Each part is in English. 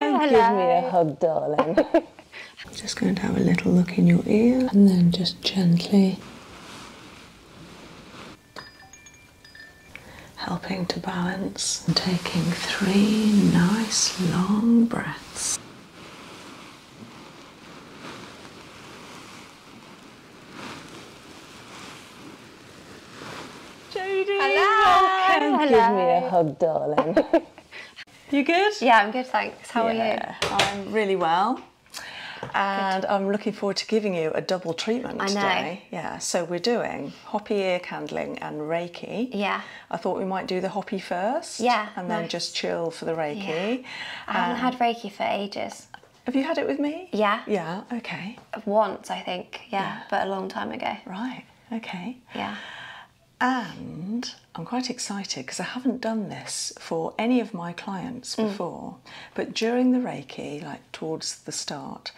Give me a hug, darling. just going to have a little look in your ear and then just gently helping to balance and taking three nice long breaths. Jodie! Hello. Give me a hug, darling. you good? Yeah, I'm good, thanks. How are you? I'm really well. And I'm looking forward to giving you a double treatment today. Yeah, so we're doing hoppy ear candling and Reiki. Yeah. I thought we might do the hoppy first. Yeah. And then just chill for the Reiki. I haven't had um, Reiki for ages. Have you had it with me? Yeah. Yeah, okay. Once, I think, yeah. but a long time ago. Right, okay. Yeah. And I'm quite excited because I haven't done this for any of my clients mm. before, but during the Reiki, like towards the start,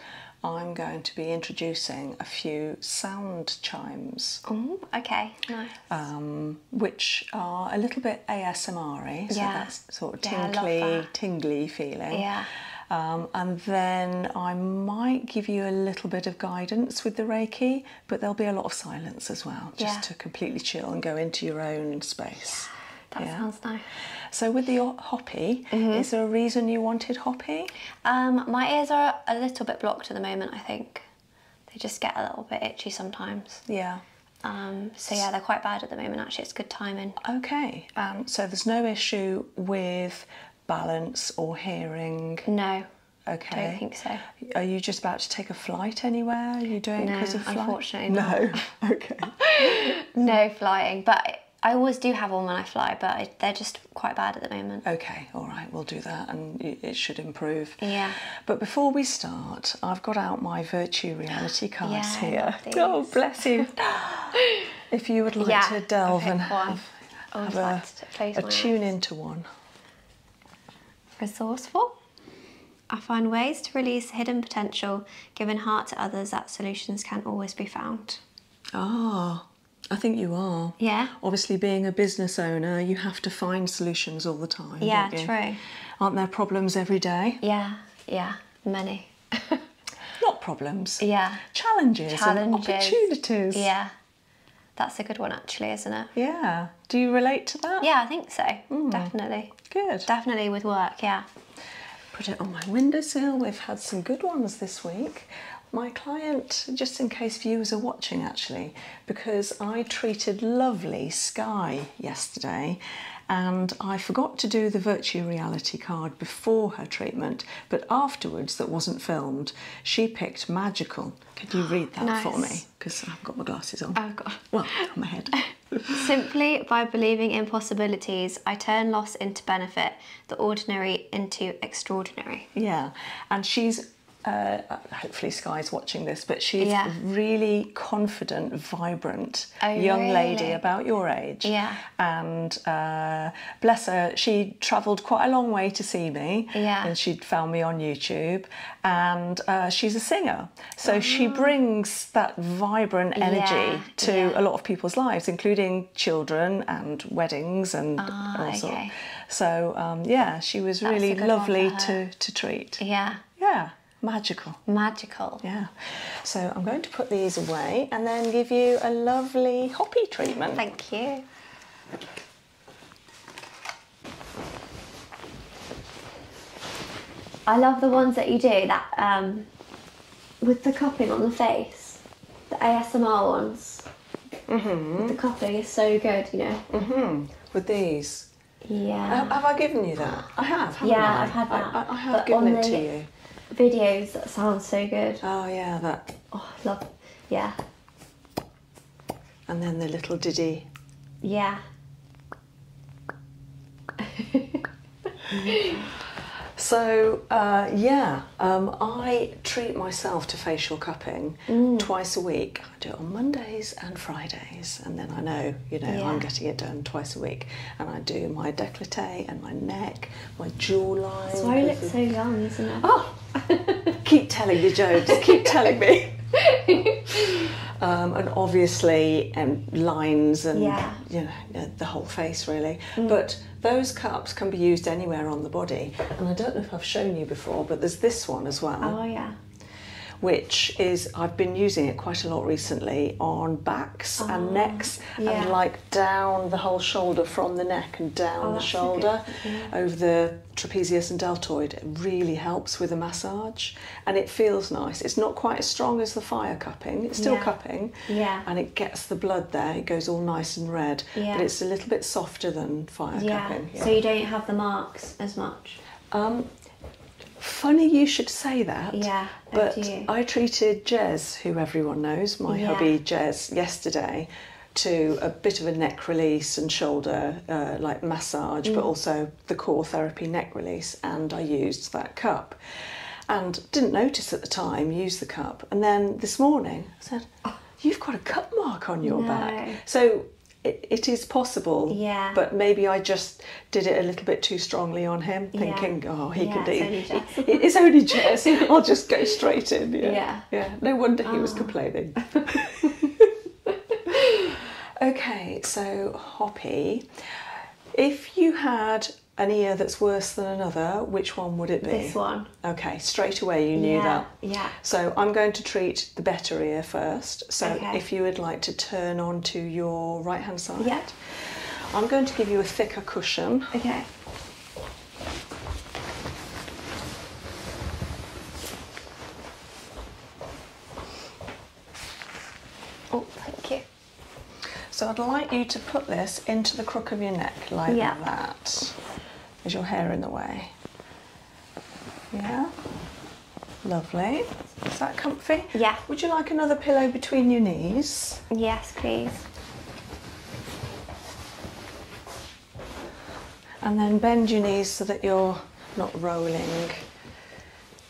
I'm going to be introducing a few sound chimes. Oh, okay, nice. Um, which are a little bit ASMR so yeah. sort of tinkly, tingly feeling. Yeah. Um, and then I might give you a little bit of guidance with the Reiki, but there'll be a lot of silence as well, just to completely chill and go into your own space. That sounds nice. So with the hoppy, mm-hmm. is there a reason you wanted hoppy? Um, my ears are a little bit blocked at the moment. I think they just get a little bit itchy sometimes. Yeah. Um, so yeah, they're quite bad at the moment. Actually, it's good timing. Okay. Um, so there's no issue with balance or hearing. No. Okay. I think so. Are you just about to take a flight anywhere? Are you doing because of flight? unfortunately No. okay. no flying, but I always do have one when I fly, but they're just quite bad at the moment. Okay, all right, we'll do that, and it should improve. Yeah. But before we start, I've got out my virtue reality cards here. Oh, bless you. if you would like to delve and have, a tune into one. Resourceful. I find ways to release hidden potential, giving heart to others that solutions can always be found. Ah, I think you are. Yeah. Obviously, being a business owner, you have to find solutions all the time. Yeah, true. Aren't there problems every day? Yeah, yeah, many. Not problems. Yeah. Challenges, challenges. and opportunities. Yeah, that's a good one, actually, isn't it? Yeah. Do you relate to that? Yeah, I think so. Hmm. Definitely. Good. Definitely with work, yeah. Put it on my windowsill. We've had some good ones this week. My client, just in case viewers are watching actually, because I treated lovely Sky yesterday and I forgot to do the virtual reality card before her treatment, but afterwards that wasn't filmed, she picked magical could you read that for me? Because I have got my glasses on. I've got. Well, on my head. Simply by believing in possibilities, I turn loss into benefit, the ordinary into extraordinary. Yeah, and she's uh, hopefully Sky's watching this, but she's yeah. really confident, vibrant oh, young lady about your age. Yeah. And uh, bless her, she travelled quite a long way to see me. Yeah. And she found me on YouTube, and uh, she's a singer. So she ah. brings that vibrant energy to a lot of people's lives, including children and weddings and ah, all sorts. So um, yeah, she was really lovely to, to treat. Yeah. Yeah. Magical. Magical. Yeah. So I'm going to put these away and then give you a lovely hoppy treatment. Thank you. I love the ones that you do that um, with the cupping on the face, the ASMR ones. Mm-hmm. The cupping is so good, you know. Mm-hmm. With these. Yeah. have I given you that? I have. yeah, I? have had that. I, have given it to you. Videos that sound so good. Oh yeah, that. Oh, love. Yeah. And then the little diddy. Yeah. so, uh, yeah, um, I treat myself to facial cupping mm. twice a week. I do it on Mondays and Fridays, and then I know, you know, I'm getting it done twice a week. And I do my décolleté and my neck, my jawline. That's why you look so young, isn't it? Oh, keep telling me, Joe. keep telling me. Um, and obviously, um, lines and you know uh, the whole face really. Mm. But those cups can be used anywhere on the body. And I don't know if I've shown you before, but there's this one as well. Oh yeah which is I've been using it quite a lot recently on backs and oh, necks and like down the whole shoulder from the neck and down oh, the shoulder over the trapezius and deltoid really helps with a massage and it feels nice. It's not quite as strong as the fire cupping, it's still cupping. And it gets the blood there, it goes all nice and red. Yeah. But it's a little bit softer than fire cupping. Yeah. So you don't have the marks as much? Um, funny you should say that. Yeah. Oh but I treated Jez, who everyone knows, my yeah. hubby Jez, yesterday to a bit of a neck release and shoulder uh, like massage, but mm. also the core therapy neck release, and I used that cup. And didn't notice at the time, use the cup. And then this morning I said, oh. You've got a cup mark on your back. So it is possible. Yeah. But maybe I just did it a little bit too strongly on him, thinking, oh, he can do it's only, it, it's only jazz. I'll just go straight in. Yeah. Yeah. No wonder he was oh. complaining. okay, so Hoppy, if you had an ear that's worse than another, which one would it be? This one. Okay, straight away you knew that. Yeah. So I'm going to treat the better ear first. So if you would like to turn on to your right hand side. Yeah. I'm going to give you a thicker cushion. Okay. Oh, thank you. So I'd like you to put this into the crook of your neck like yeah. that. Is your hair in the way? Yeah. Lovely. Is that comfy? Yeah. Would you like another pillow between your knees? Yes, please. And then bend your knees so that you're not rolling.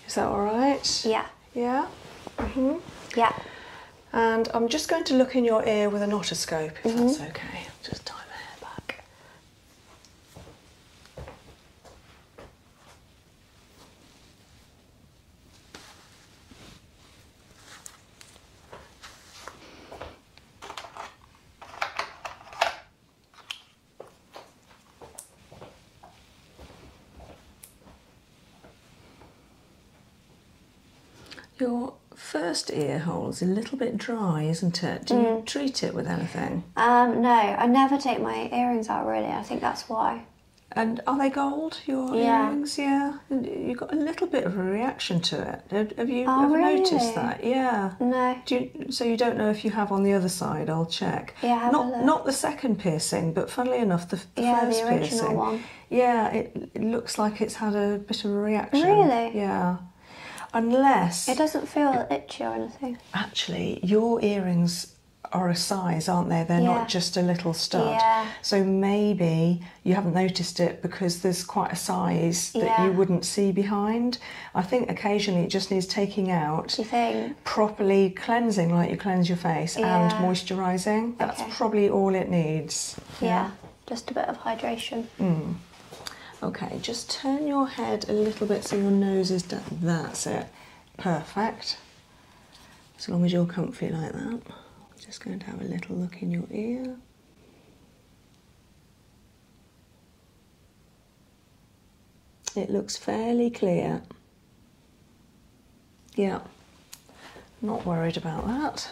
Is that all right? Yeah. Yeah? Mm-hmm. Yeah. And I'm just going to look in your ear with an otoscope, if that's mm-hmm. okay. Just tie my hair back. Your first ear hole is a little bit dry, isn't it? Do you mm. treat it with anything? Um, no, I never take my earrings out really. I think that's why. And are they gold? Your earrings, yeah. You got a little bit of a reaction to it. Have you oh, ever noticed that? Yeah. No, so you don't know if you have on the other side? I'll check. Yeah, not not the second piercing, but funnily enough, the, the yeah, first the original piercing. One. Yeah, it, looks like it's had a bit of a reaction. Really? Yeah. Unless it doesn't feel itchy or anything. Actually, your earrings are a size, aren't they? They're not just a little stud. Yeah. So maybe you haven't noticed it because there's quite a size that you wouldn't see behind. I think occasionally it just needs taking out. Properly cleansing, like you cleanse your face, and moisturising. That's probably all it needs. Yeah. just a bit of hydration. Mm. Okay, just turn your head a little bit so your nose is That's it. Perfect. As long as you're comfy like that. just going to have a little look in your ear. It looks fairly clear. Yeah, not worried about that.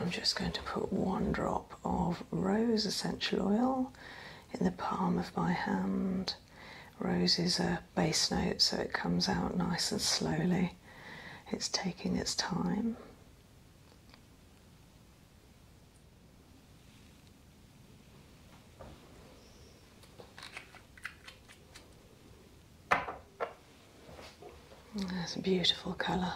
I'm just going to put one drop of rose essential oil in the palm of my hand. Rose is a bass note, so it comes out nice and slowly. It's taking its time. That's a beautiful colour.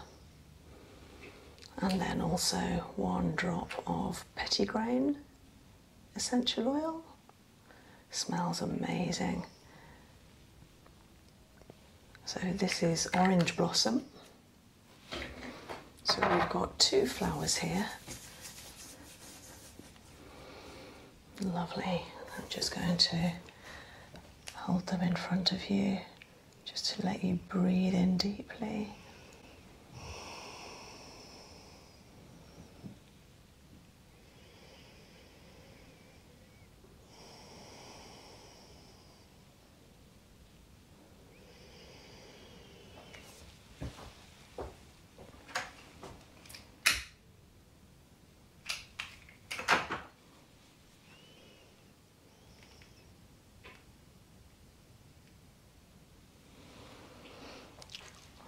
And then also one drop of pettigrain essential oil. Smells amazing. So this is orange blossom. So we've got two flowers here. Lovely. I'm just going to Hold them in front of you just to let you breathe in deeply.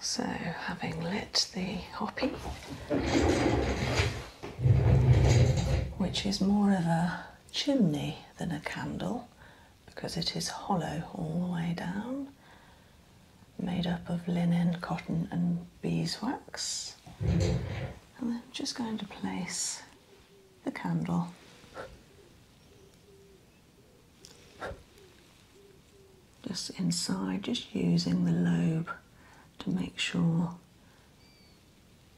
So, having lit the hoppy, which is more of a chimney than a candle because it is hollow all the way down, made up of linen, cotton, and beeswax. And I'm just going to place the candle just inside, just using the lobe to make sure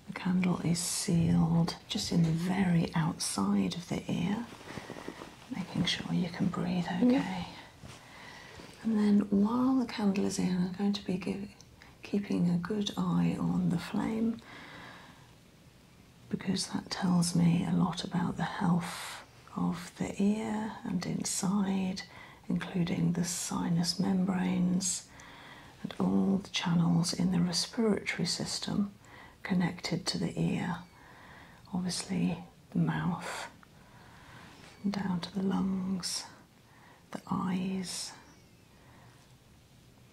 the candle is sealed just in the very outside of the ear, making sure you can breathe okay. And then while the candle is in, I'm going to be giving keeping a good eye on the flame because that tells me a lot about the health of the ear and inside, including the sinus membranes and all the channels in the respiratory system connected to the ear. Obviously, the mouth, down to the lungs the eyes.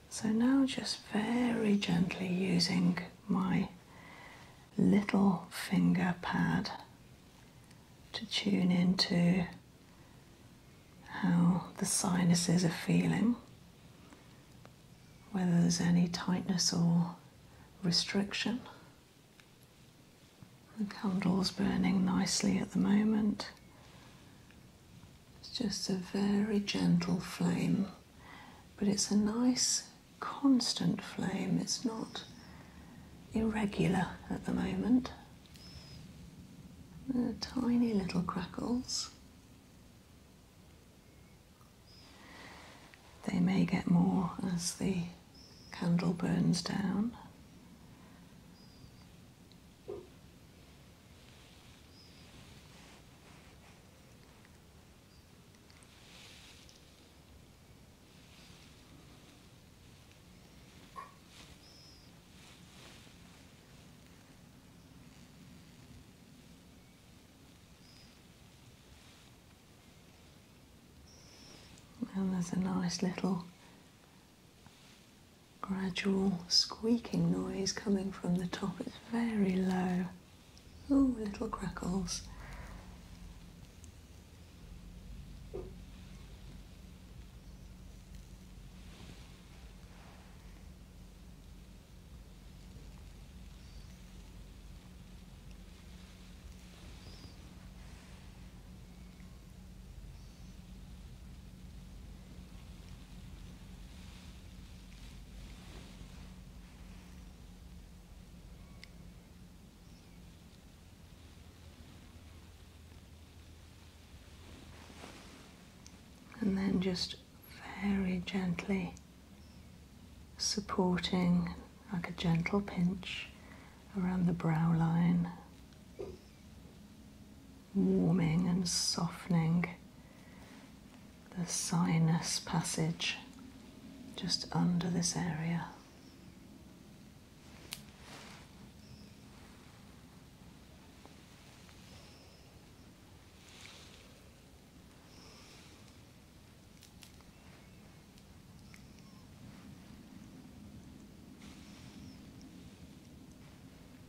So now just very gently using my little finger pad to tune into how the sinuses are feeling, whether there's any tightness or restriction. The candle's burning nicely at the moment. It's just a very gentle flame, but it's a nice constant flame. It's not irregular at the moment. There are tiny little crackles. They may get more as the candle burns down. And there's a nice little gradual squeaking noise coming from the top. It's very low. Ooh, little crackles and then just very gently supporting like a gentle pinch around the brow line warming and softening the sinus passage just under this area.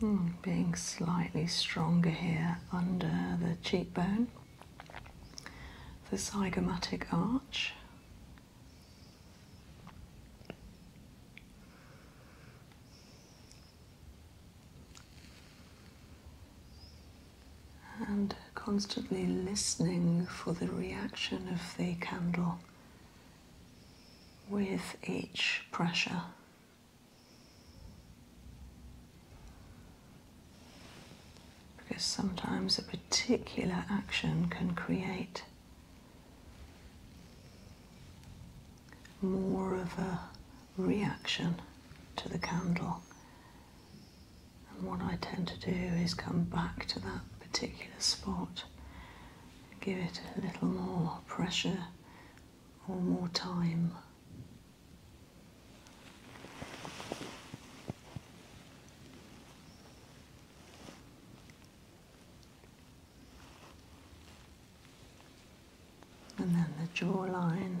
Hmm, being slightly stronger here under the cheekbone, the zygomatic arch. And constantly listening for the reaction of the candle with each pressure. Because sometimes a particular action can create more of a reaction to the candle. And what I tend to do is come back to that particular spot, give it a little more pressure or more time. And then the jawline.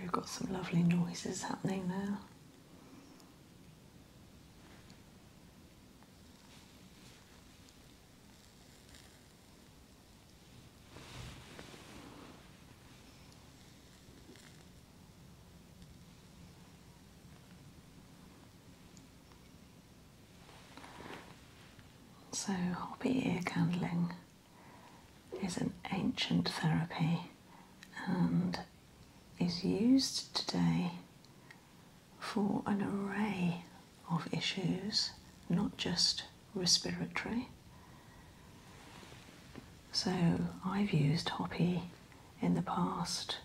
We've got some lovely noises happening now. So, hobby ear candling is an ancient therapy and is used today for an array of issues, not just respiratory, so I've used Hoppy in the past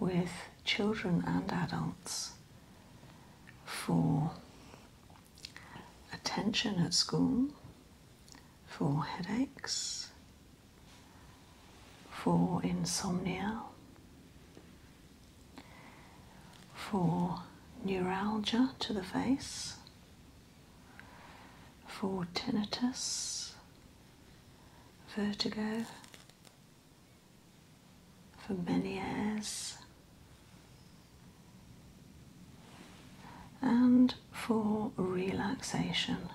with children and adults for attention at school, for headaches, for insomnia, for neuralgia to the face, for tinnitus, vertigo for Meniere's and for relaxation,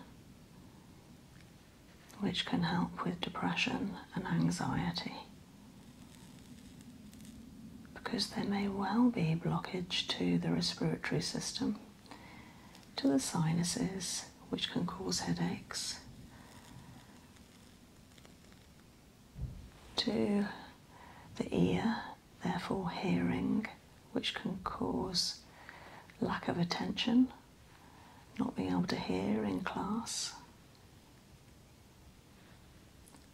which can help with depression and anxiety because there may well be blockage to the respiratory system to the sinuses, which can cause headaches, to the ear, therefore hearing, which can cause lack of attention, not being able to hear in class.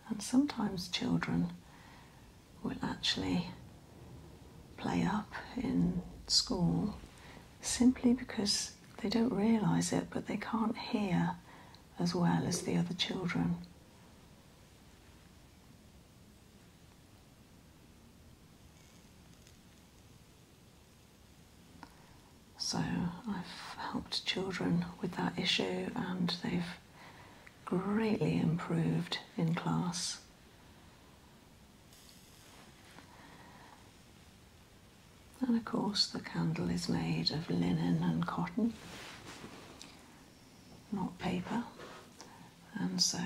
And sometimes children will actually play up in school simply because they don't realise it but they can't hear as well as the other children. So I've helped children with that issue and they've greatly improved in class. And of course, the candle is made of linen and cotton, not paper, and so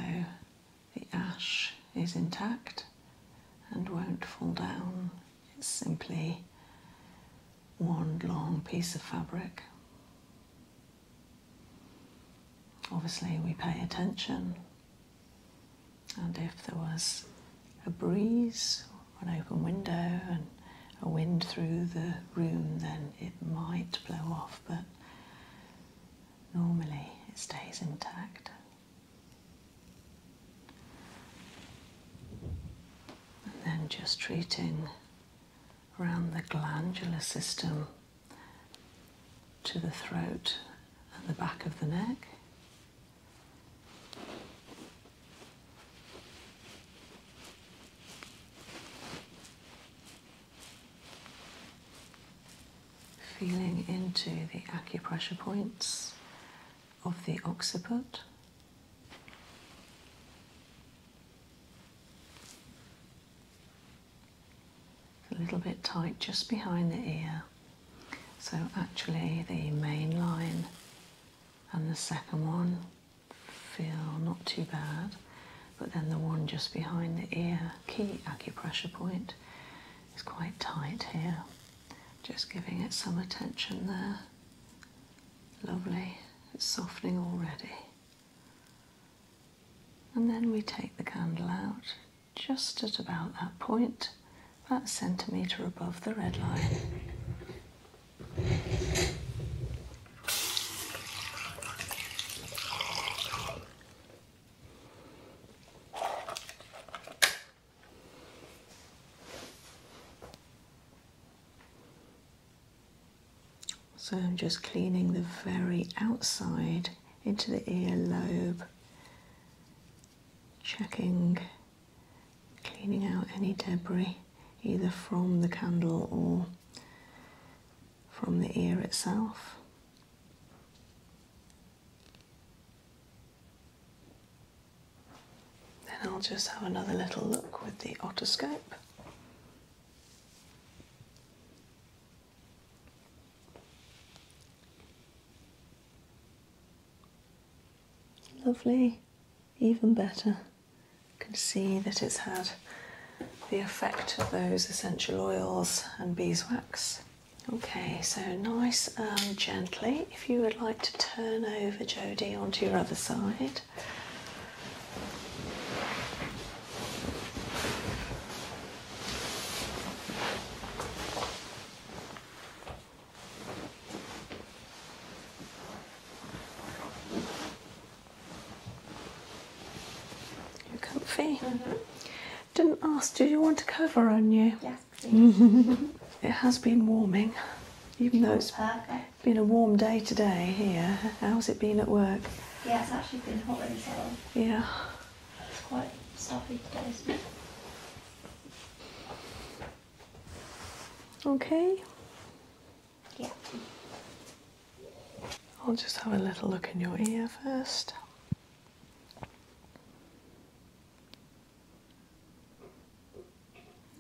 the ash is intact and won't fall down. It's simply one long piece of fabric. Obviously, we pay attention and if there was a breeze an open window and a wind through the room, then it might blow off, but normally it stays intact. And then just treating around the glandular system to the throat and the back of the neck. Feeling into the acupressure points of the occiput a little bit tight just behind the ear. So actually the main line and the second one feel not too bad, but then the one just behind the ear key acupressure point is quite tight here. Just giving it some attention there. Lovely, it's softening already. And then we take the candle out just at about that point, about centimetre above the red line. So I'm just cleaning the very outside into the ear lobe, checking, cleaning out any debris either from the candle or from the ear itself. Then I'll just have another little look with the otoscope. Lovely, even better. You can see that it's had the effect of those essential oils and beeswax. Okay, so nice and gently. If you would like to turn over Jodie onto your other side. You're comfy. Didn't ask, do you want a cover on you? Yes, it has been warming, even though it's Perfect. been a warm day today here. How's it been at work? Yeah, it's actually been hot in the salon. Yeah. It's quite stuffy today. Okay. Yeah. I'll just have a little look in your ear first.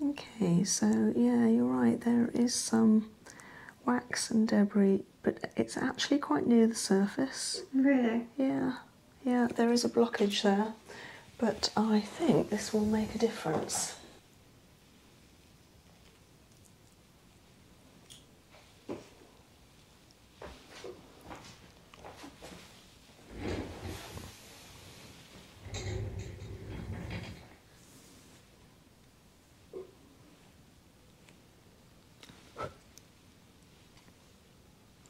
Okay, so yeah, you're right, there is some wax and debris but it's actually quite near the surface. Really? Yeah, yeah, there is a blockage there, but I think this will make a difference.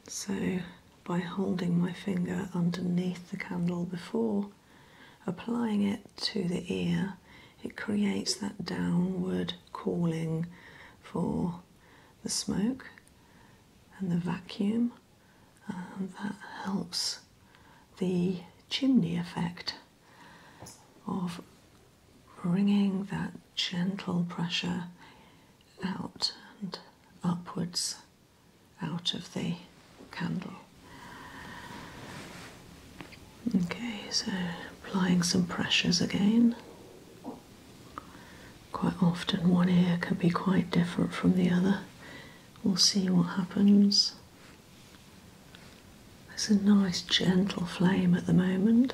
So, by holding my finger underneath the candle before applying it to the ear, it creates that downward calling for the smoke and the vacuum, and that helps the chimney effect of bringing that gentle pressure out and upwards out of the candle. Okay, so applying some pressures again. Quite often, one ear can be quite different from the other. We'll see what happens. There's a nice gentle flame at the moment.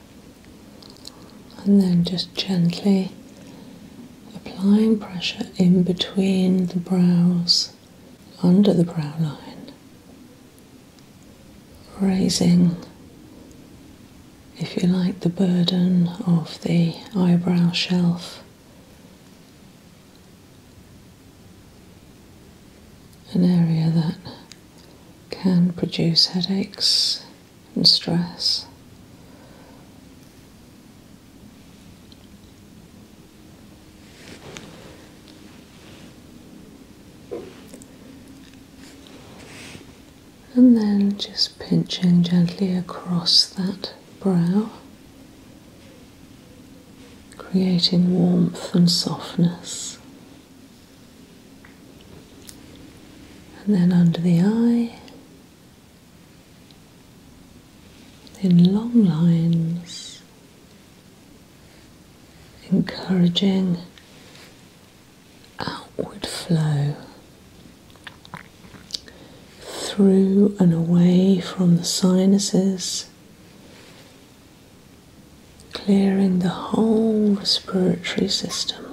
and then just gently applying pressure in between the brows under the brow line, raising, if you like, the burden of the eyebrow shelf. An area that can produce headaches and stress. And then just pinching gently across that brow, creating warmth and softness. And then under the eye, in long lines, encouraging outward flow through and away from the sinuses, clearing the whole respiratory system.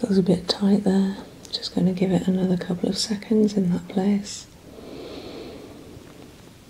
Feels a bit tight there, just going to give it another couple of seconds in that place.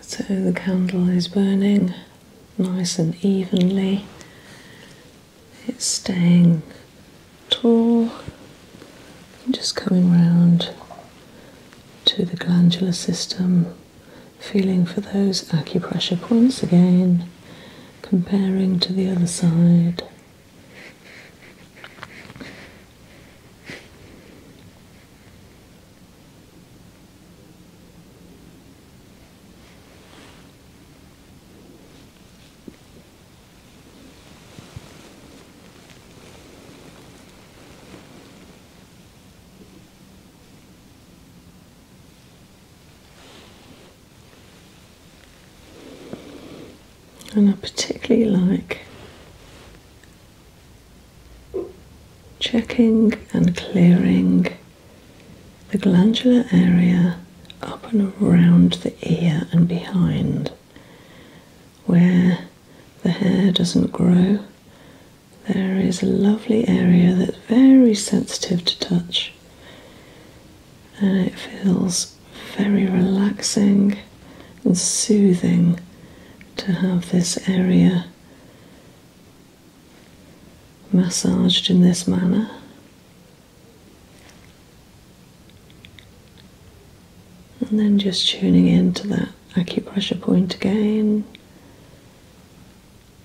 So the candle is burning nice and evenly, it's staying tall, just coming round to the glandular system Feeling for those acupressure points again, comparing to the other side. And I particularly like checking and clearing the glandular area up and around the ear and behind where the hair doesn't grow there is a lovely area that's very sensitive to touch and it feels very relaxing and soothing to have this area massaged in this manner. And then just tuning into that acupressure point again.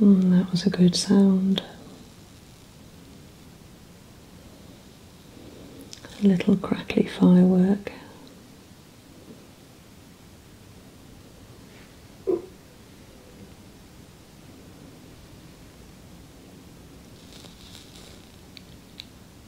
Mm, that was a good sound. A little crackly firework.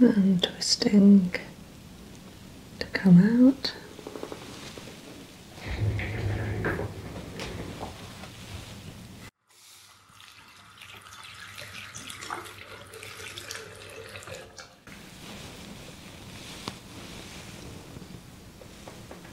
and twisting to come out.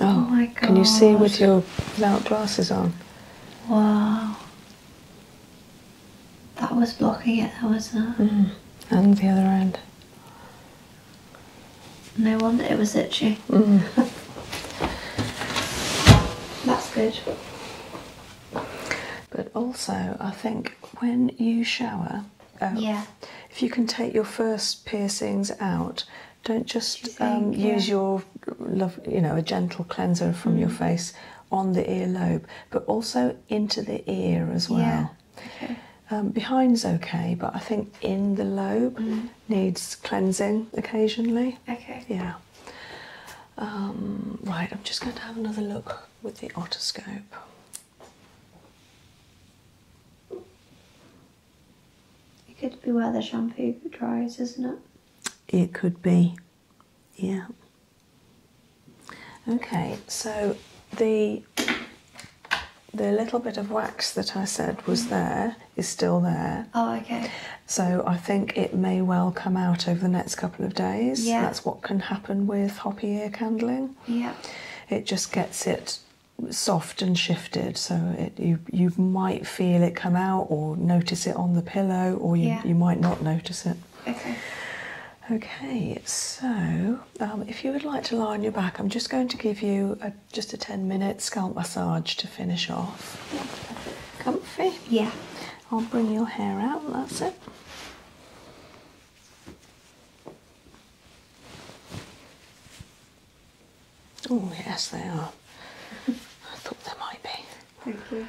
Oh oh my God. Can you see with your without glasses on? Wow. That was blocking it, though, wasn't it? Mm. And the other end. No wonder it was itchy. Mm. That's good. But also, I think when you shower, um, yeah. if you can take your first piercings out, don't just um, use your love, you know, a gentle cleanser from your mm. face on the ear lobe, but also into the ear as well. Um, behind's okay, but I think in the lobe mm. needs cleansing occasionally. Okay. Yeah. Um, right, I'm just going to have another look with the otoscope. It could be where the shampoo dries, isn't it? it could be. Yeah. Okay, so the the little bit of wax that I said was there is still there. Oh, okay. So I think it may well come out over the next couple of days. Yeah. That's what can happen with hoppy ear candling. Yeah. It just gets it soft and shifted, so it, you you might feel it come out or notice it on the pillow, or you, might not notice it. Okay. Okay, so um, if you would like to lie on your back, I'm just going to give you just a 10 minute scalp massage to finish off. Comfy? Yeah. I'll bring your hair out, that's it. Oh, yes, they are. I thought they might be. Thank you.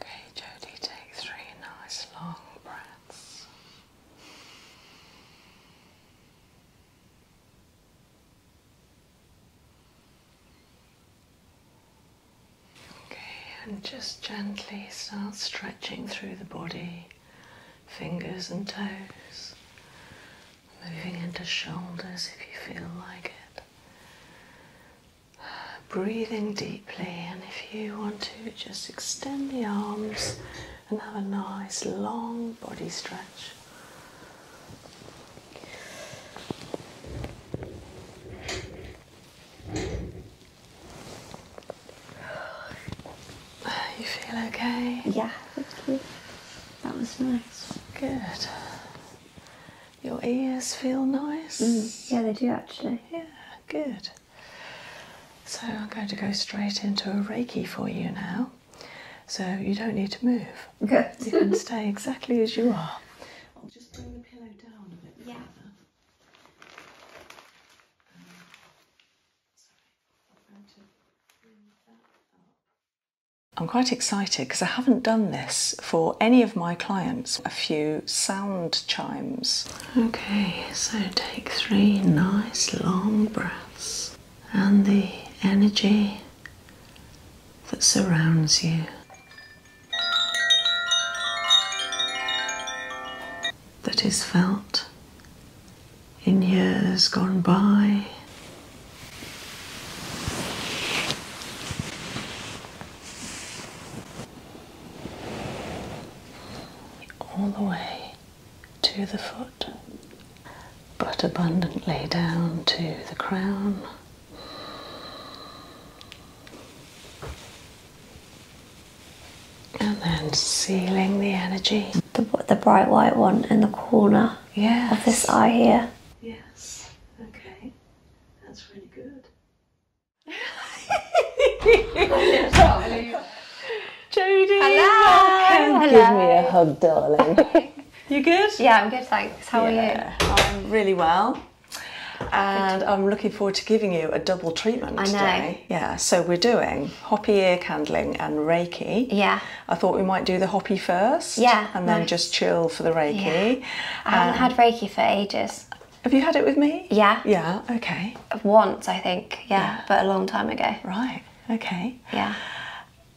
Okay, Jody, take three nice long breaths. Okay, and just gently start stretching through the body fingers and toes, moving into shoulders if you feel like it. Breathing deeply, and if you want to, just extend the arms and have a nice long body stretch. You feel okay? Yeah, thank good. That was nice. Good. Your ears feel nice? Mm, yeah, they do actually. Yeah, good. So I'm going to go straight into a Reiki for you now. So you don't need to move. Good. You can stay exactly as you are. I'll just bring the pillow down a bit. Yeah. I'm quite excited because I haven't done this for any of my clients. A few sound chimes. Okay, so take three nice long breaths and the energy that surrounds you that is felt in years gone by. All the way to the foot, but abundantly down to the crown. And then sealing the energy. The, bright white one in the corner of this eye here. Yes. Okay. That's really good. Jodie. Hello. Give me a hug, darling. you good? Yeah, I'm good, thanks. How are you? I'm really well. And I'm looking forward to giving you a double treatment today. Yeah, so we're doing hoppy ear candling and Reiki. Yeah. I thought we might do the hoppy first. Yeah. And then just chill for the Reiki. I haven't um, had Reiki for ages. Have you had it with me? Yeah. Yeah, okay. Once, I think, yeah, but a long time ago. Right, okay. Yeah.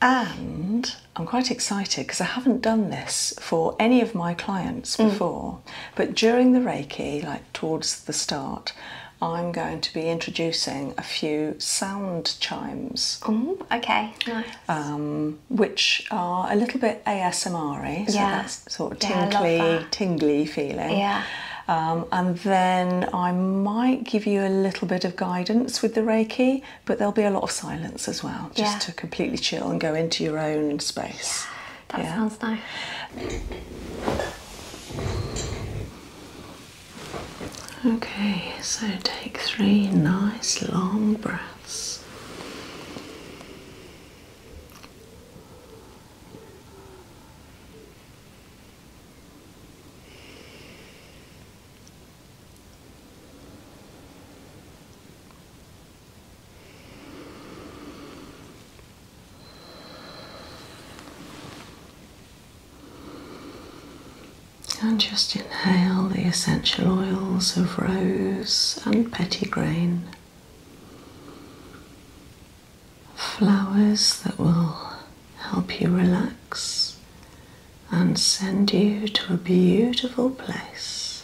And I'm quite excited because I haven't done this for any of my clients mm. before, but during the Reiki, like towards the start, I'm going to be introducing a few sound chimes. okay, nice. Um, which are a little bit asmr so that sort of tingly, tingly feeling. Yeah. Um, and then I might give you a little bit of guidance with the Reiki, but there'll be a lot of silence as well, just to completely chill and go into your own space. Yeah, that sounds nice. Okay, so take three nice long breaths. And just inhale the essential oils of rose and pettigrain, flowers that will help you relax and send you to a beautiful place.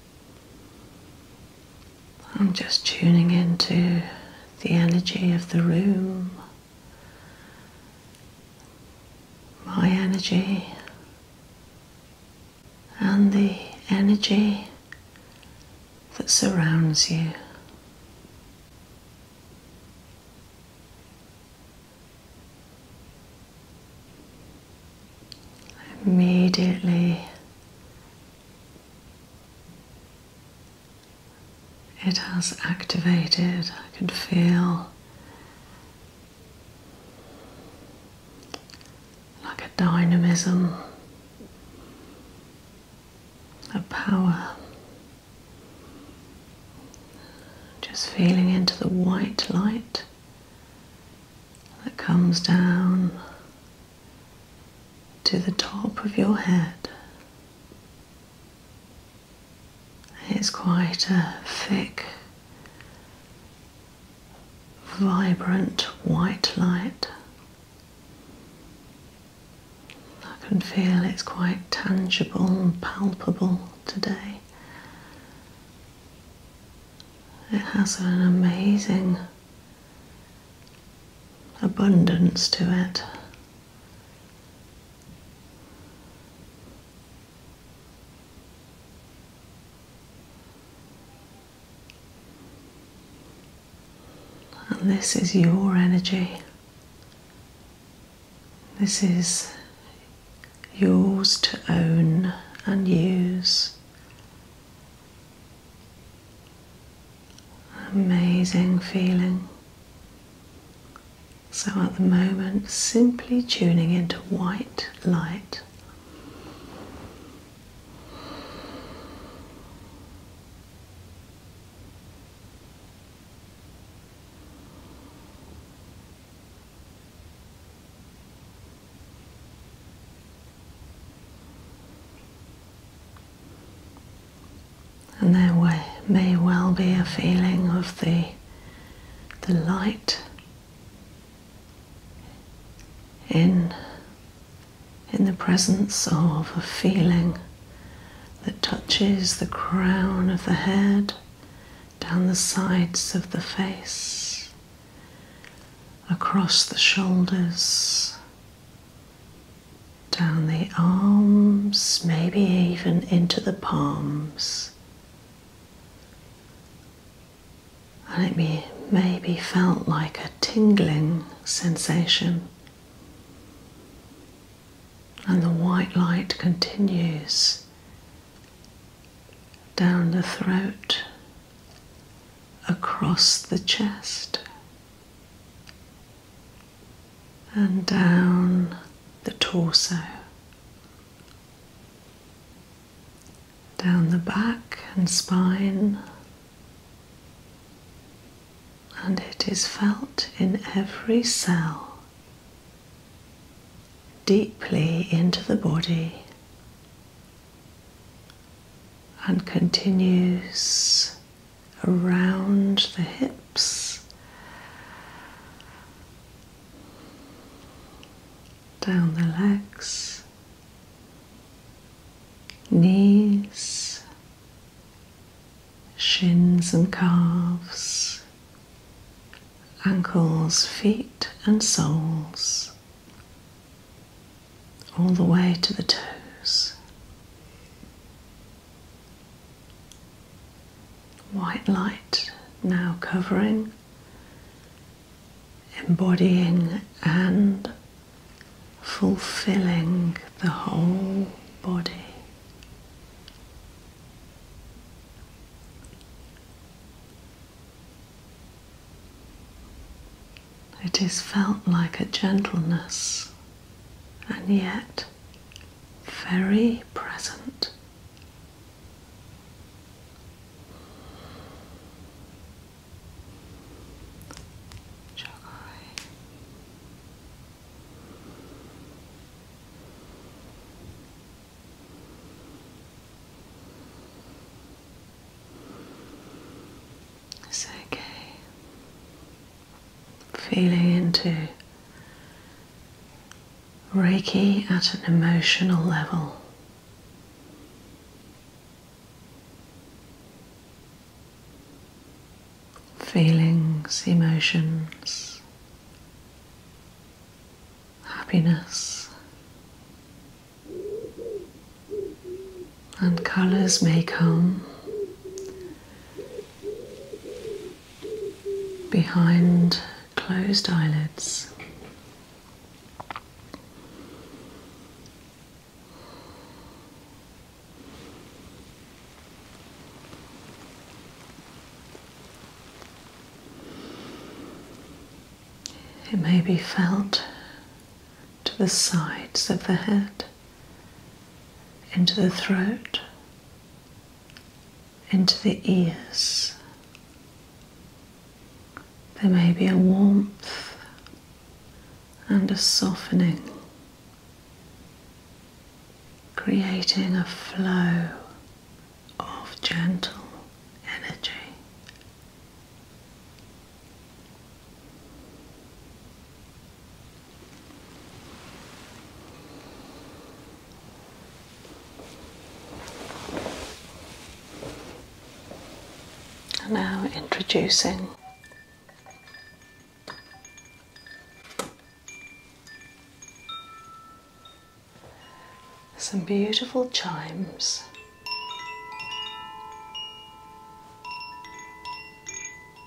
I'm just tuning into the energy of the room, my energy, and the energy that surrounds you. Immediately it has activated, I can feel like a dynamism, a power. Just feeling into the white light that comes down to the top of your head. It's quite a thick, vibrant white light. I can feel it's quite tangible and palpable today. It has an amazing abundance to it. And this is your energy. This is yours to own and use Amazing feeling. So at the moment, simply tuning into white light. And there may well be a feeling of the, the light in, in the presence of a feeling that touches the crown of the head, down the sides of the face, across the shoulders, down the arms, maybe even into the palms. And it may, maybe felt like a tingling sensation. And the white light continues down the throat, across the chest, and down the torso, down the back and spine, and it is felt in every cell, deeply into the body. And continues around the hips, down the legs, knees, shins and calves, ankles, feet, and soles all the way to the toes. White light now covering, embodying and fulfilling the whole body. It is felt like a gentleness and yet very present. It's okay feeling into Reiki at an emotional level. Feelings, emotions, happiness, and colors may come behind closed eyelids. It may be felt to the sides of the head into the throat, into the ears. There may be a warmth and a softening, creating a flow of gentle energy now introducing some beautiful chimes.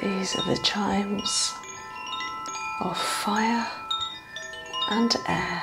These are the chimes of fire and air.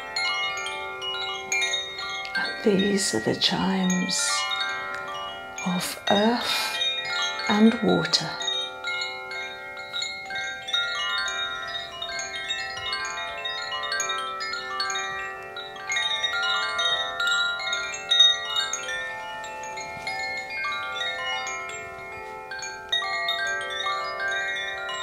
And these are the chimes of earth and water.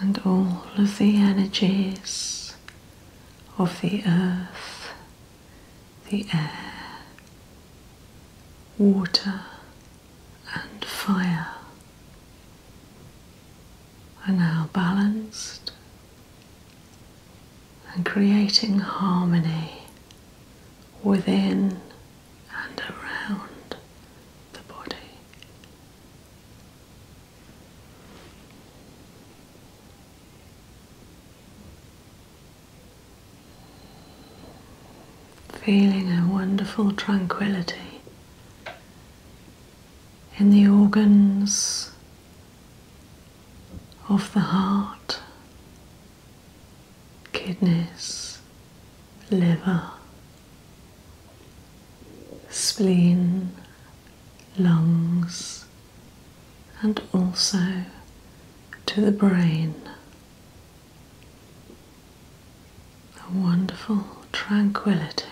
and all of the energies of the earth, the air, water, and fire are now balanced and creating harmony within and around the body. Feeling a wonderful tranquility in the organs of the heart kidneys, liver, spleen, lungs, and also to the brain. A wonderful tranquility.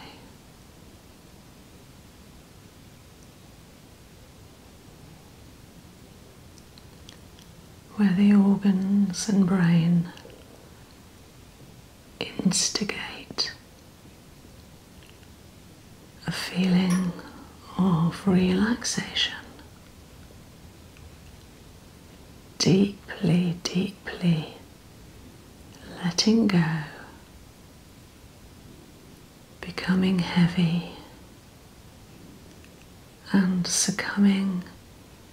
Where the organs and brain instigate a feeling of relaxation. Deeply, deeply letting go, becoming heavy and succumbing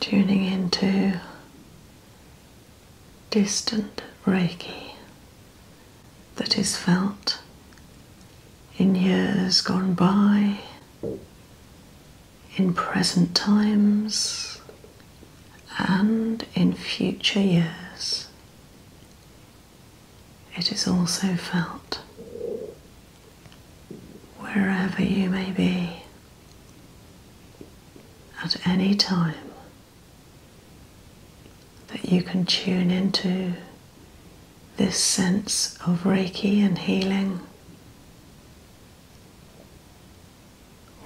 Tuning into distant Reiki that is felt in years gone by, in present times, and in future years. It is also felt wherever you may be at any time that you can tune into this sense of Reiki and healing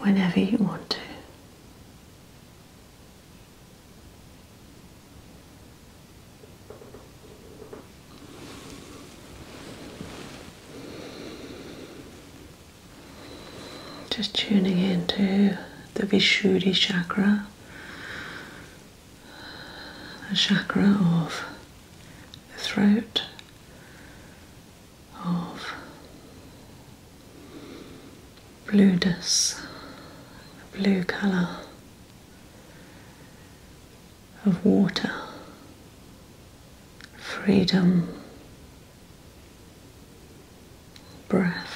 whenever you want to. Just tuning into the Vishuddhi chakra, the chakra of the throat, of blueness, the blue colour of water, freedom, breath.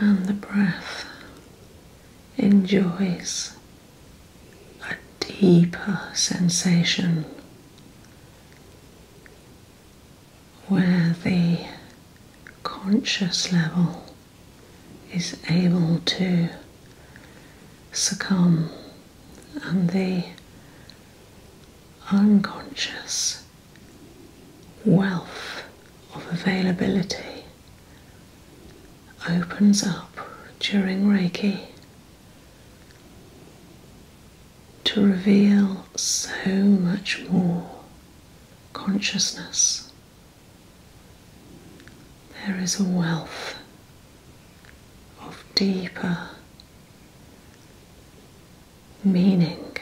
And the breath enjoys a deeper sensation where the conscious level is able to succumb and the unconscious wealth of availability opens up during Reiki to reveal so much more consciousness. There is a wealth of deeper meaning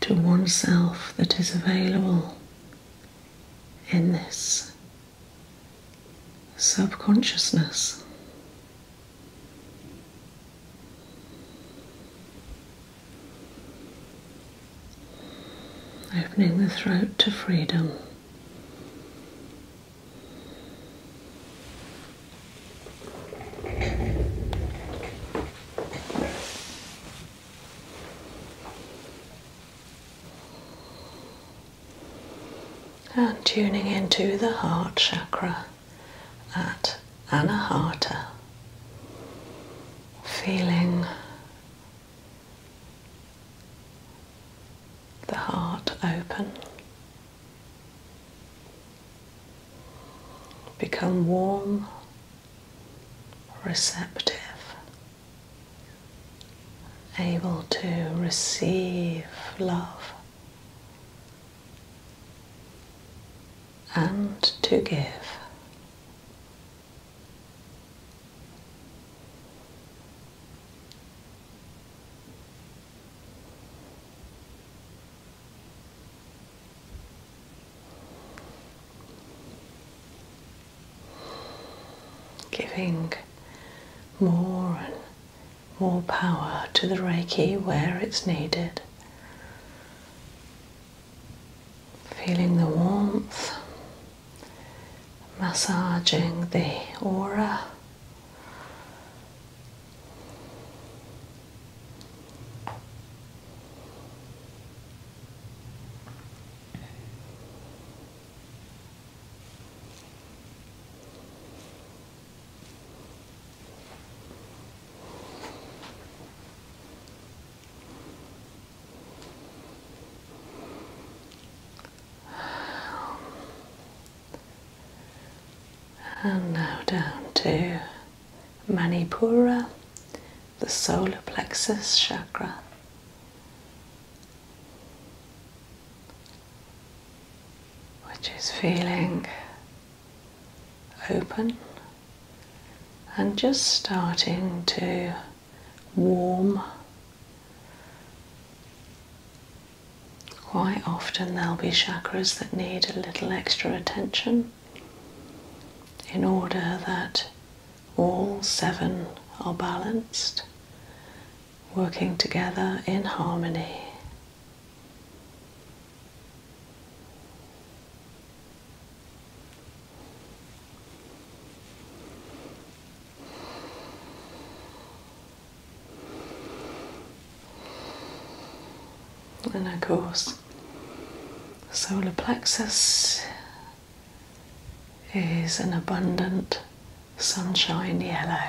to oneself that is available in this subconsciousness. Opening the throat to freedom. And tuning into the heart chakra at Anahata, feeling the heart open. Become warm, receptive, able to receive love and to give. Giving more and more power to the Reiki where it's needed. Feeling the warmth, massaging the aura. And now down to Manipura, the solar plexus chakra which is feeling open and just starting to warm. Quite often, there'll be chakras that need a little extra attention in order that all seven are balanced, working together in harmony. And of course, solar plexus is an abundant sunshine yellow.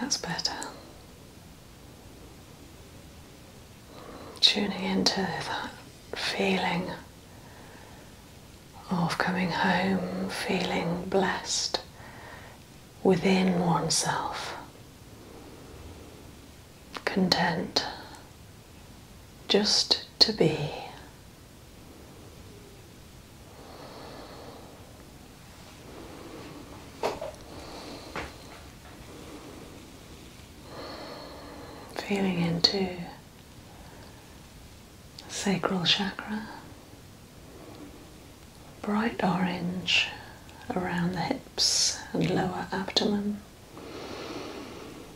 That's better. Tuning into that feeling of coming home, feeling blessed within oneself, content just to be. Feeling into the sacral chakra, bright orange around the hips and lower abdomen,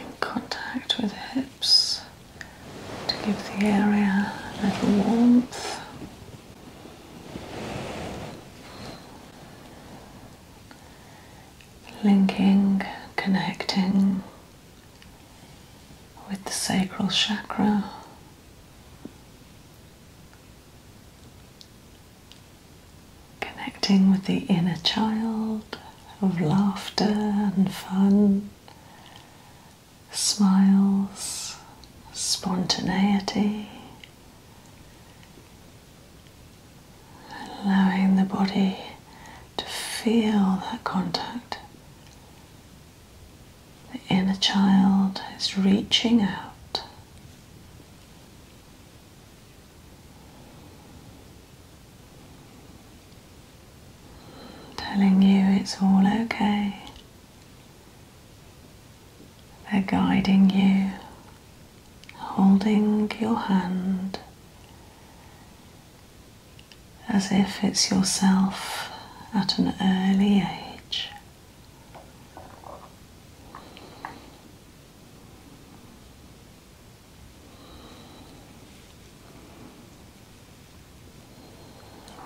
in contact with the hips to give the area a little warmth. Linking, connecting with the sacral chakra. Connecting with the inner child, of laughter and fun, smiles, spontaneity, allowing the body to feel that contact. The inner child is reaching out telling you it's all okay. They're guiding you, holding your hand as if it's yourself at an early age.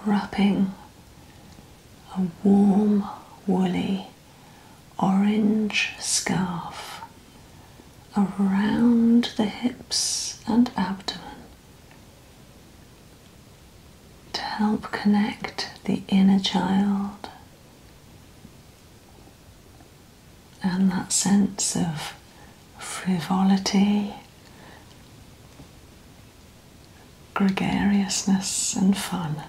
Wrapping a warm, woolly, orange scarf around the hips and abdomen to help connect the inner child and that sense of frivolity, gregariousness, and fun.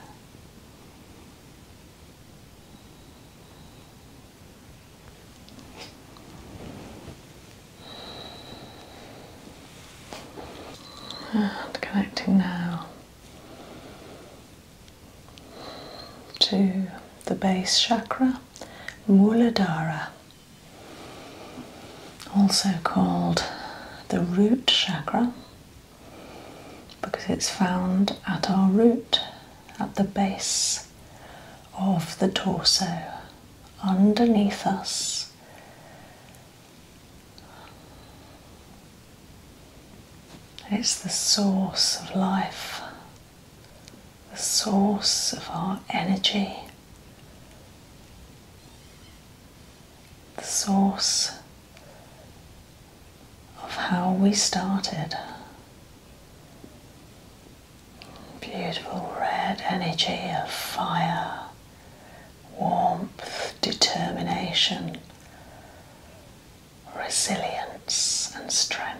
And connecting now to the base chakra. Muladhara, also called the root chakra because it's found at our root, at the base of the torso, underneath us. It's the source of life, the source of our energy, the source of how we started. Beautiful red energy of fire, warmth, determination, resilience, and strength.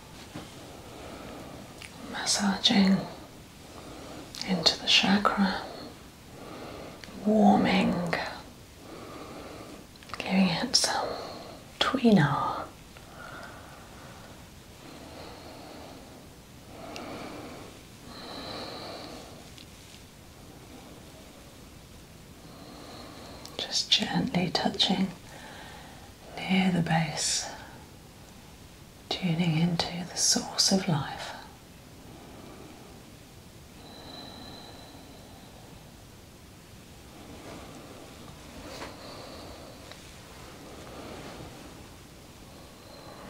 massaging into the chakra, warming, giving it some tweener. Just gently touching near the base tuning into the source of life.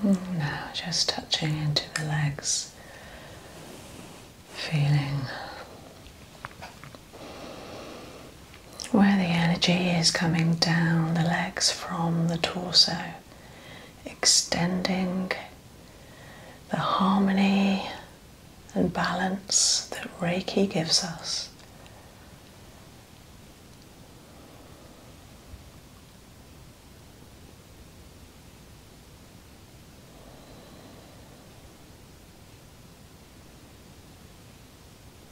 Now, just touching into the legs, feeling where the energy is coming down the legs from the torso, extending the harmony and balance that Reiki gives us.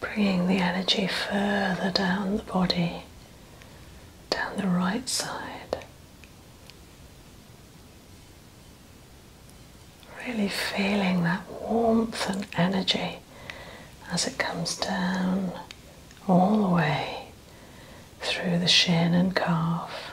Bringing the energy further down the body, down the right side, Really feeling that warmth and energy as it comes down all the way through the shin and calf.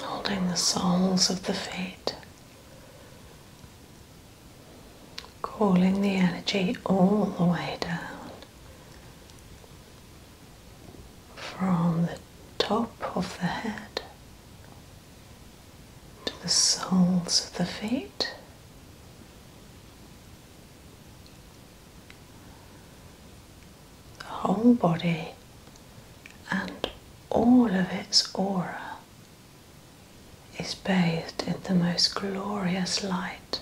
Holding the soles of the feet, calling the energy all the way down from the top of the head to the soles of the feet. The whole body and all of its aura is bathed in the most glorious light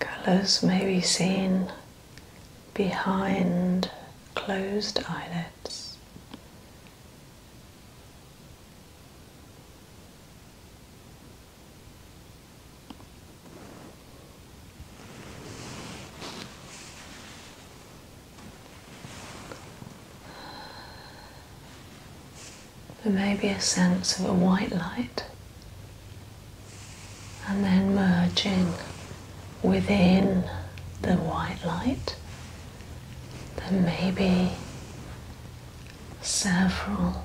Colours may be seen behind closed eyelids. There may be a sense of a white light and then merging within the white light. There may be several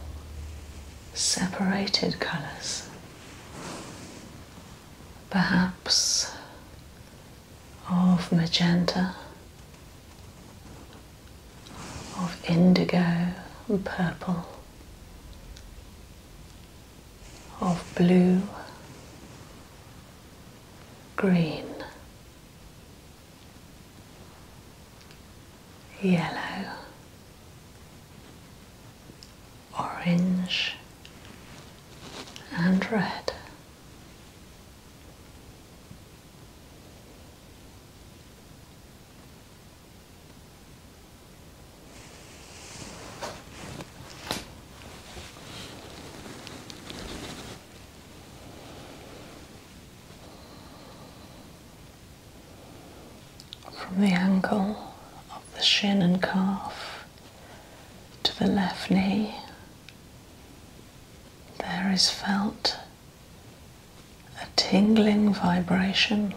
separated colours perhaps of magenta, of indigo and purple, of blue, green, yellow, orange, and red. From the ankle of the shin and calf to the left knee. There is felt a tingling vibration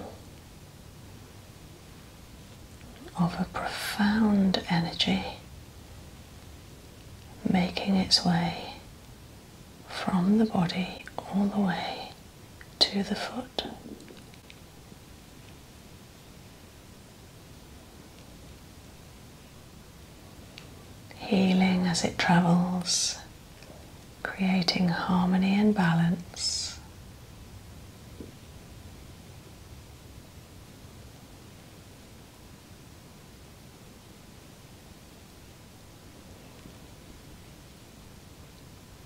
of a profound energy making its way from the body all the way to the foot healing as it travels, creating harmony and balance.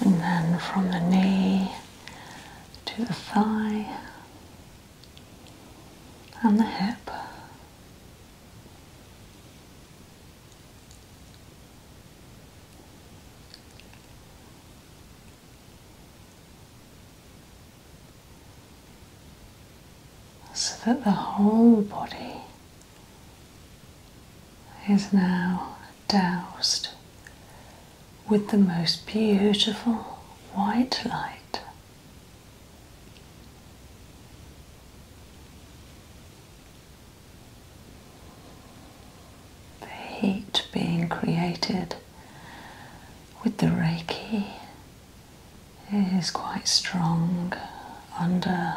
and then from the knee to the thigh and the hip. So that the whole body is now doused with the most beautiful white light. The heat being created with the Reiki is quite strong under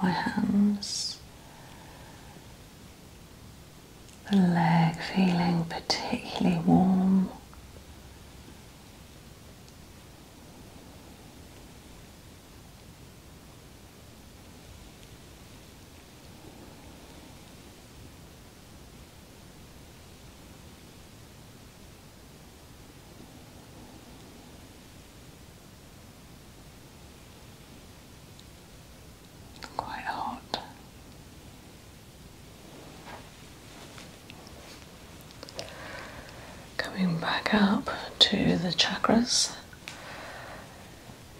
my hands the leg feeling particularly warm. Quite hot. Coming back up to the chakras,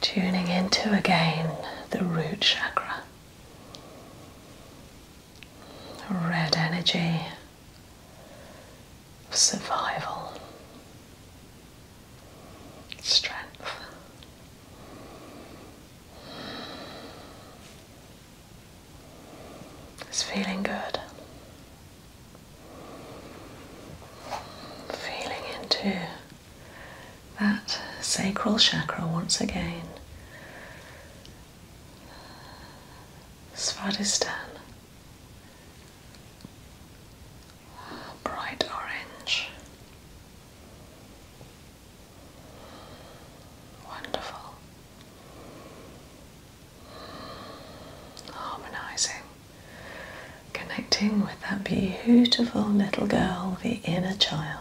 tuning into again the root chakra. Red energy of survival, strength. It's feeling good. Feeling into that sacral chakra once again. Svadhisthana bright orange. Wonderful. Harmonizing, connecting with that beautiful little girl, the inner child.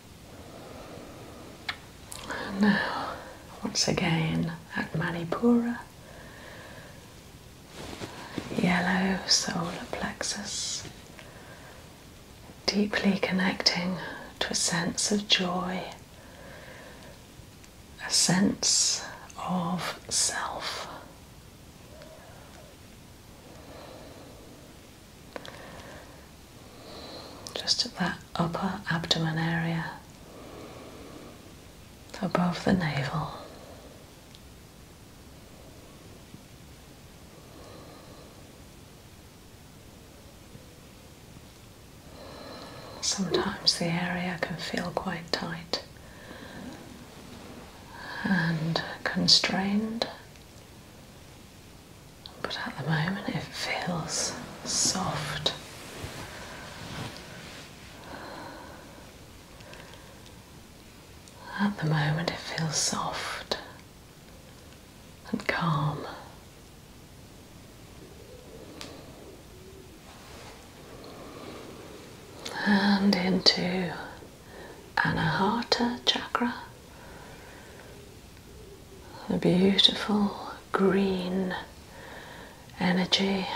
now, once again at Manipura, yellow solar plexus, deeply connecting to a sense of joy, a sense of self just at that upper abdomen area, above the navel. Sometimes the area can feel quite tight and constrained but at the moment it feels soft. At the moment it feels soft and calm. And into Anahata chakra, a beautiful green energy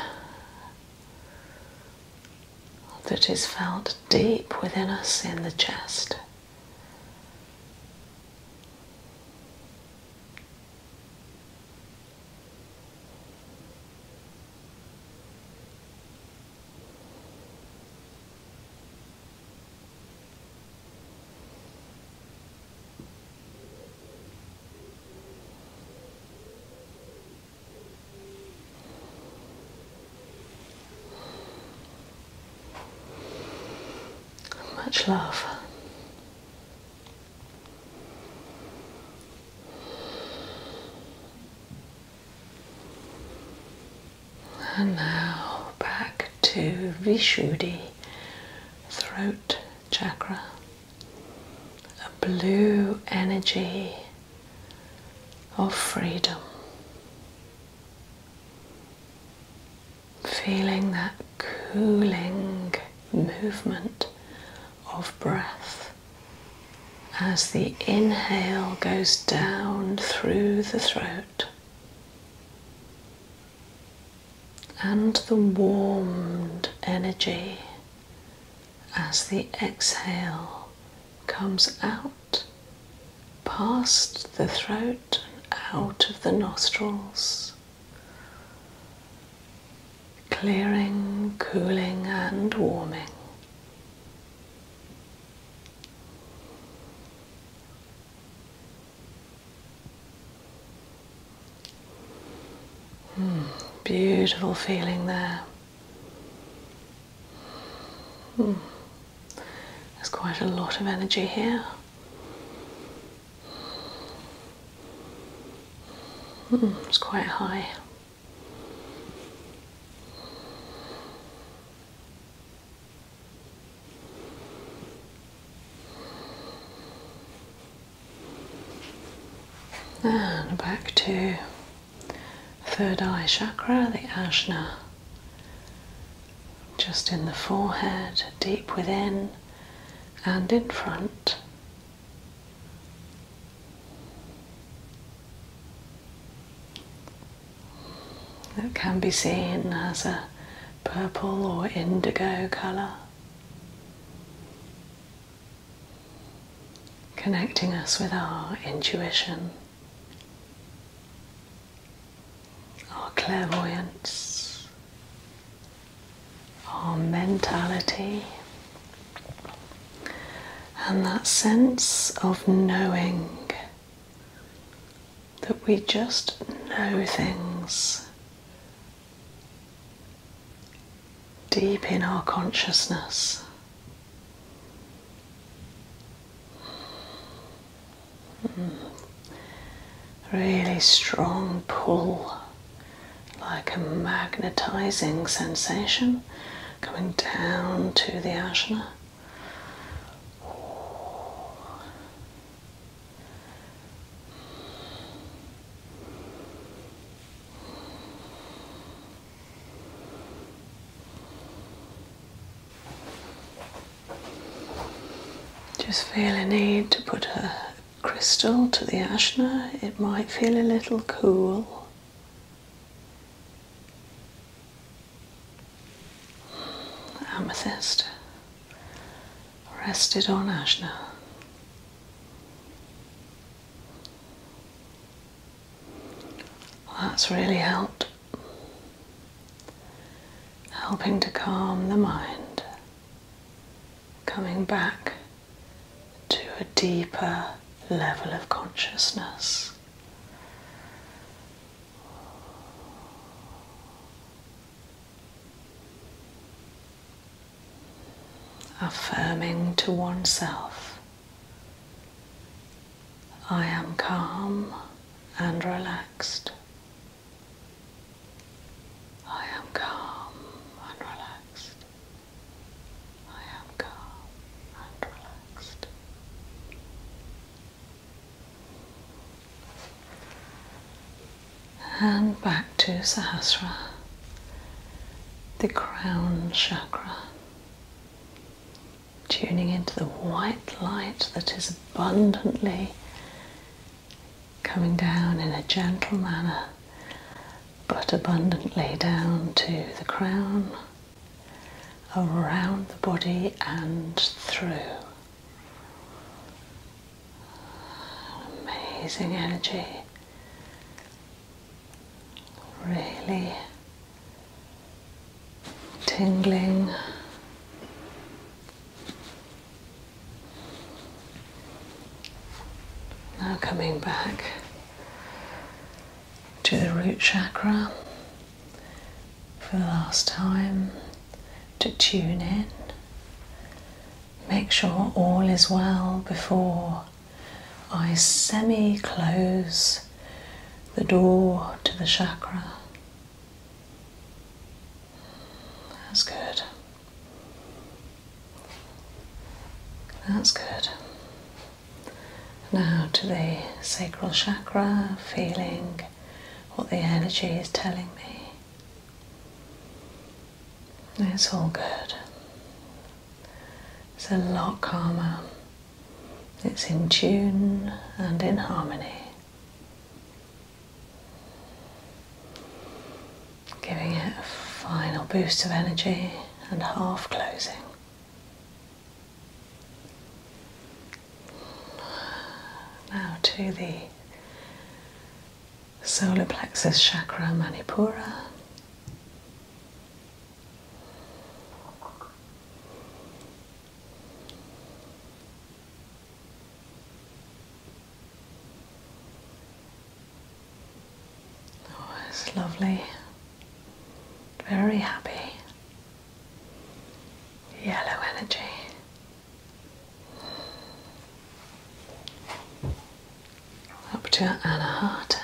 that is felt deep within us in the chest. Much love. And now back to Vishuddhi, throat chakra, a blue energy of freedom. Feeling that cooling movement of breath as the inhale goes down through the throat and the warmed energy as the exhale comes out past the throat and out of the nostrils, clearing, cooling, and warming. Hmm, beautiful feeling there. Hmm, there's quite a lot of energy here. Hmm, it's quite high. Ah, and back to third eye chakra, the ajna, just in the forehead, deep within and in front. It can be seen as a purple or indigo colour connecting us with our intuition, our clairvoyance, our mentality, and that sense of knowing that we just know things deep in our consciousness. Hmm. Really strong pull, like a magnetizing sensation coming down to the asana. Just feel a need to put a crystal to the ashna, it might feel a little cool. Amethyst rested on Ashna. that's really helped, helping to calm the mind, coming back to a deeper level of consciousness affirming to oneself, I am calm and relaxed. I am calm and relaxed. I am calm and relaxed and back to Sahasra, the crown chakra. Tuning into the white light that is abundantly coming down in a gentle manner, but abundantly down to the crown, around the body, and through. Amazing energy. Really tingling. Now coming back to the root chakra for the last time to tune in make sure all is well before I semi close the door to the chakra. That's good. That's good. Now to the sacral chakra, feeling what the energy is telling me. It's all good. It's a lot calmer. It's in tune and in harmony. Giving it a final boost of energy and half closing. Now to the solar plexus chakra manipura. Oh, it's lovely. Very happy. Yellow energy up to Anna Harter.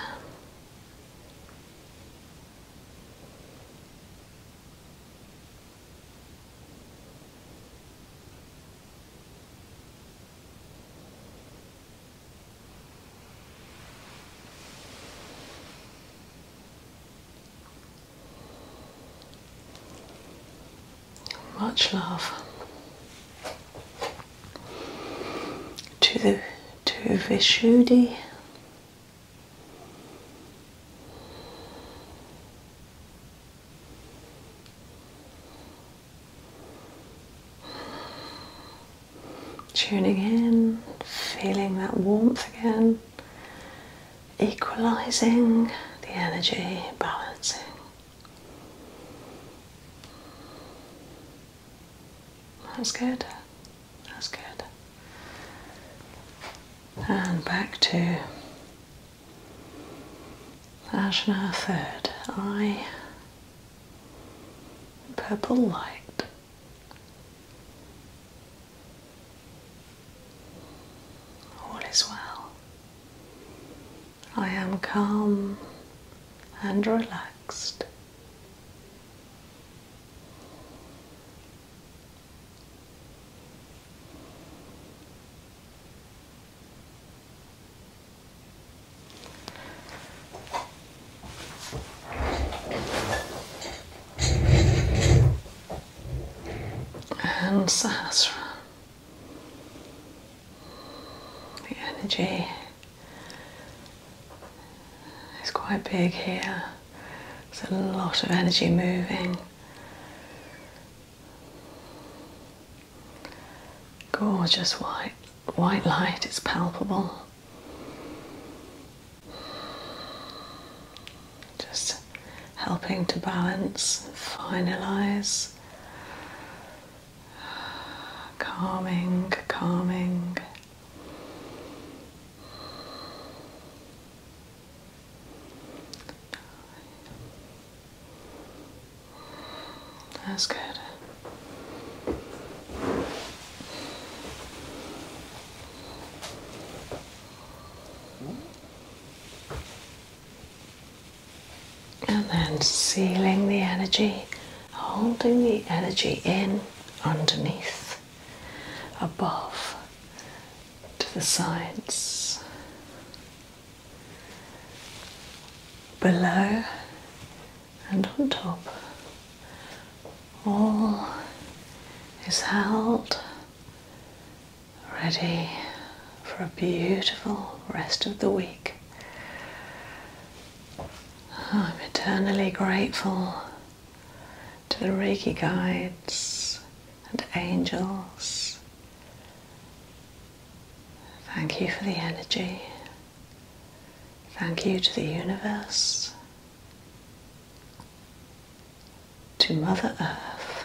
Much love to the to Vishudi. Tuning in, feeling that warmth again, equalizing the energy, balancing. That's good. That's good. And back to Ajna third eye. Purple light. All is well. I am calm and relaxed. And Sahasra. The energy is quite big here. There's a lot of energy moving. Gorgeous white, white light, it's palpable. Just helping to balance, finalize calming, calming. That's good and then sealing the energy, holding the energy in underneath, above, to the sides, below, and on top. All is held ready for a beautiful rest of the week. Oh, I'm eternally grateful to the Reiki guides and angels. Thank you for the energy. Thank you to the universe, to Mother Earth,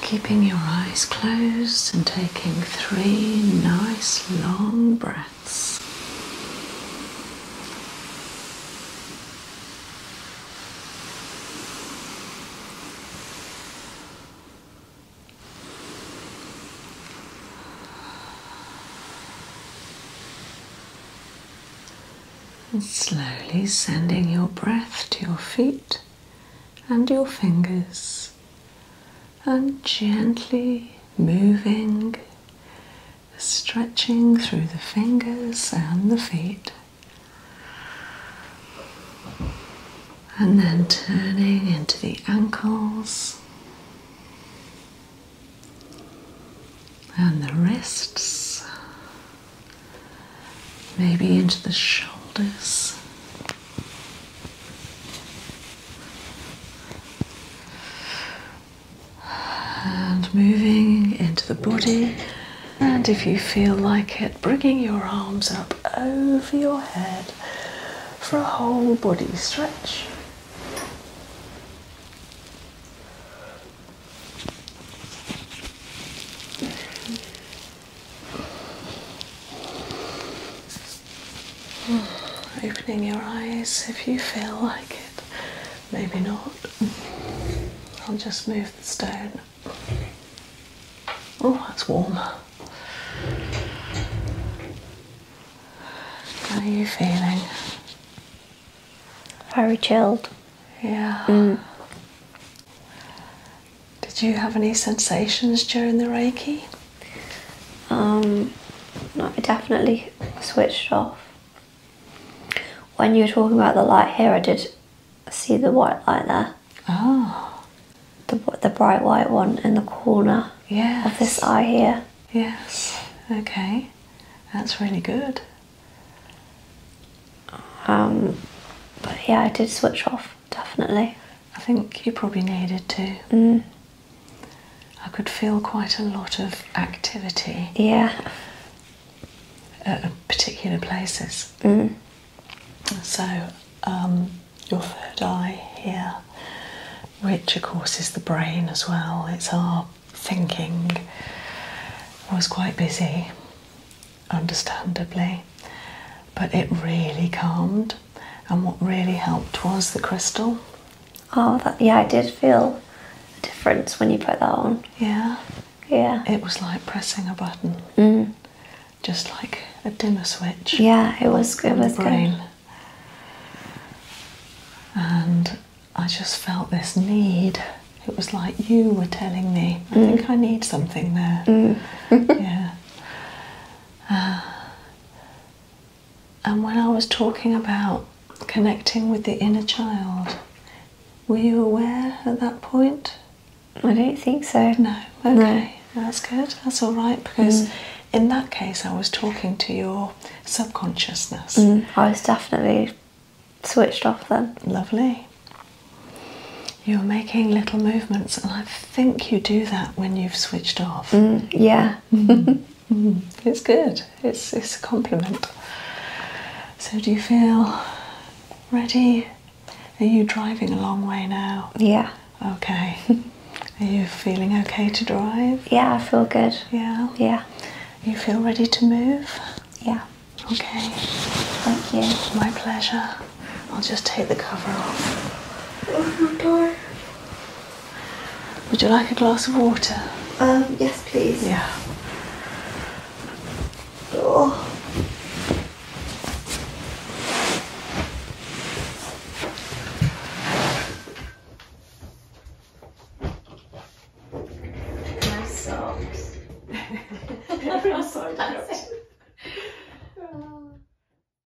Keeping your eyes closed and taking three nice long breaths. And slowly sending your breath to your feet and your fingers and gently moving, stretching through the fingers and the feet, and then turning into the ankles and the wrists, maybe into the shoulders. And moving into the body, and if you feel like it, bringing your arms up over your head for a whole body stretch. Opening your eyes if you feel like it, maybe not. I'll just move the stone. Oh, that's warm. How are you feeling? Very chilled. Yeah. Mm. Did you have any sensations during the Reiki? Um, I definitely switched off. When you were talking about the light here, I did see the white light there. Oh. The, the bright white one in the corner of this eye here. Yes, okay. That's really good. Um, but yeah, I did switch off, definitely. I think you probably needed to. Mm. I could feel quite a lot of activity. Yeah. At particular places. Mm. So, um, your third eye here, which of course is the brain as well, it's our thinking, was quite busy, understandably, but it really calmed and what really helped was the crystal. Oh, yeah, I did feel a difference when you put that on. Yeah. Yeah. It was like pressing a button. Mm. Just like a dimmer switch. Yeah, it was good. It was good. And I just felt this need. It was like you were telling me, I mm. think I need something there. Mm. yeah. Uh, and when I was talking about connecting with the inner child, were you aware at that point? I don't think so. No. Okay. No. That's good. That's all right because mm. in that case, I was talking to your subconsciousness. Mm, I was definitely switched off then. Lovely. You're making little movements, and I have think you do that when you've switched off. Mm, yeah. Mm, mm. it's good. It's it's a compliment. So do you feel ready? Are you driving a long way now? Yeah. Okay. Are you feeling okay to drive? Yeah, I feel good. Yeah. Yeah. You feel ready to move? Yeah. Okay. Thank you. My pleasure. I'll just take the cover off. Oh my god. Would you like a glass of water? Um, yes, please. Yeah. Oh. My socks. Everyone's socks.